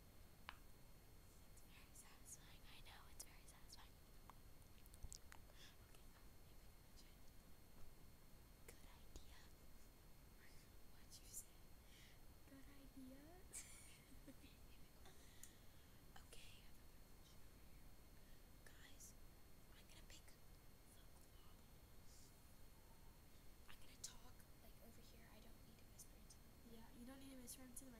it's very satisfying. I know it's very satisfying. Okay, Good idea. What'd you say? Good idea. okay, guys, I'm gonna pick the globals. I'm gonna talk like over here. I don't need to whisper into the. Yeah, you don't need to whisper into the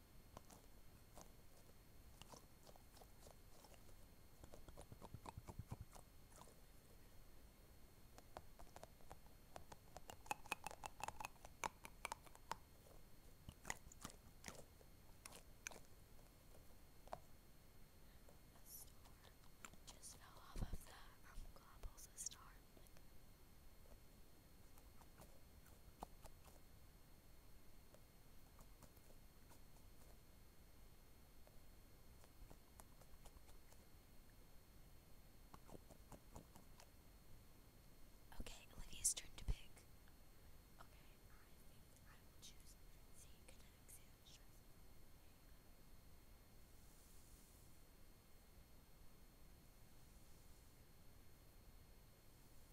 just fell off of the um, globules of star. Like, Okay, Olivia's turn to pick. Okay, I think I will choose Z Kinetics and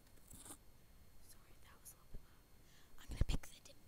Sorry, that was a little bit loud. I'm gonna pick the dimple. Now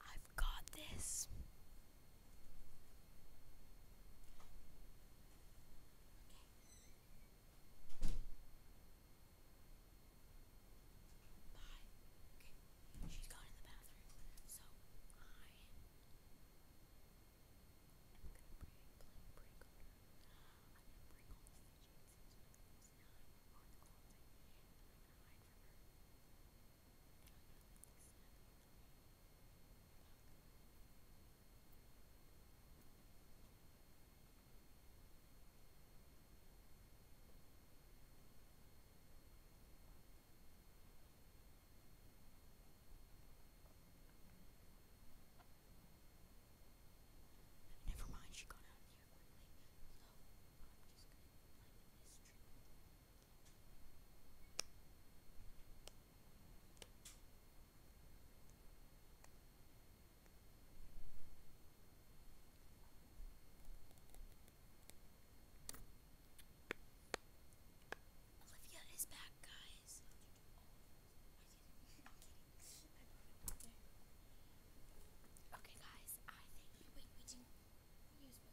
I've got this. Okay. Bye. Okay. She's gone in the bathroom. So I am gonna break, break, break on I'm gonna break all the fidgets. So now I'm and i gonna hide from her. Never mind, she got out. Olivia is back, guys. Okay, guys, I think. Wait, we didn't use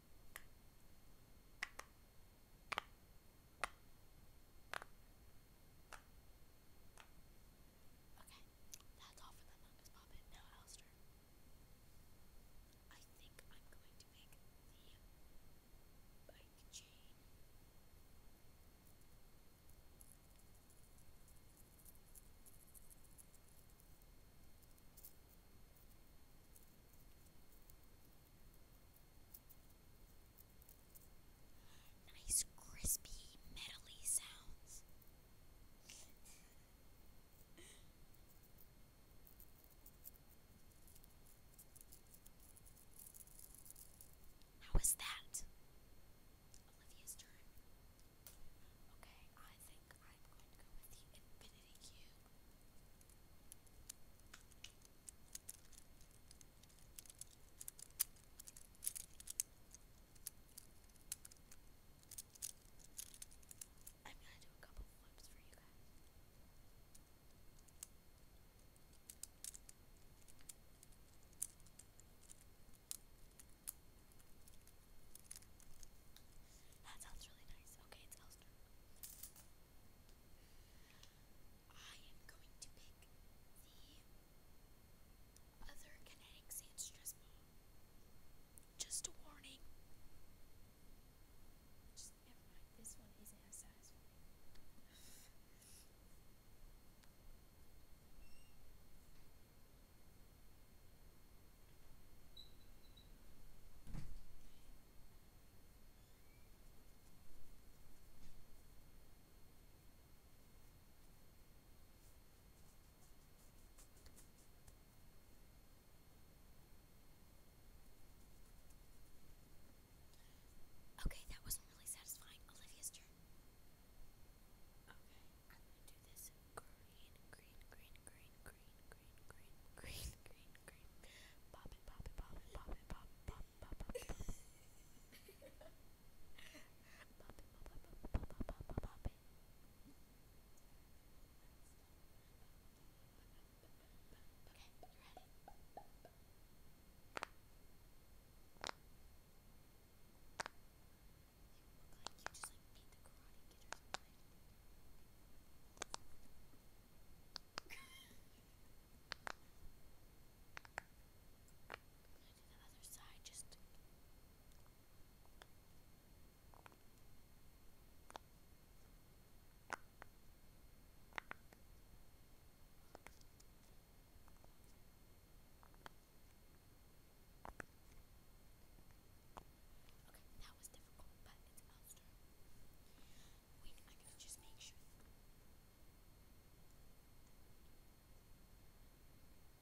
that's all for the Fungus Puppet. Now, Alistair. I think I'm going to make the bike chain. Nice crispy metally sounds. How is that? Olivia's turn. Okay, I think I'm going to go with the infinity I'm gonna do a couple flips for you guys. That sounds really nice. Okay, it's Elsa. I am going to pick the other kinetic sand stress ball. Just a warning. Just this one isn't as satisfying. Okay, that wasn't really satisfying. Olivia's turn. Okay, I'm gonna do this green, green, green, green green, green, green, green, green, green, green. Pop it, pop it, pop it, pop it, pop it, pop, pop, pop, Okay, you ready? You like you just like beat the karate kid or something the other side just Okay, that was difficult, but it's Elster. Wait,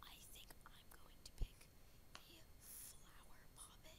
I think I'm going to pick a flower poppet.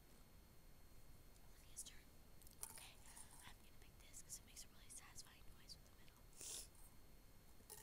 Olivia's turn. Okay, I'm gonna pick this because it makes a really satisfying noise with the middle. Okay,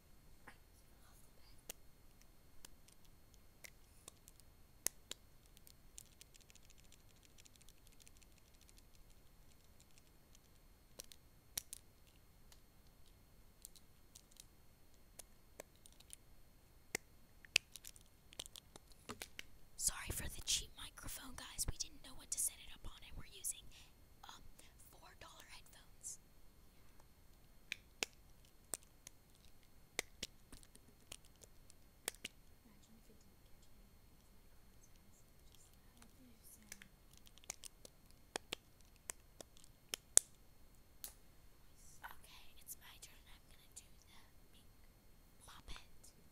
Sorry for the cheap microphone, guys. We didn't know what to set it up on, and we're using um $4 headphones guys. Imagine if it didn't catch me just how do you sound? Okay, it's my turn. I'm gonna do the pink Muppet. That's a, that's a ghost.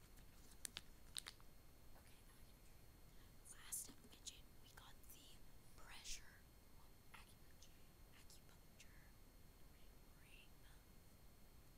Last mention, we got the pressure well, acupuncture, acupuncture, ring, ring. Okay,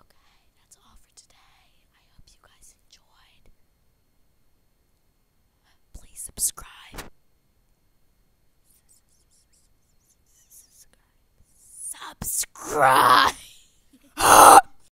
Okay, that's all for today. I hope you guys enjoyed. Please subscribe. Subscribe. Subscribe.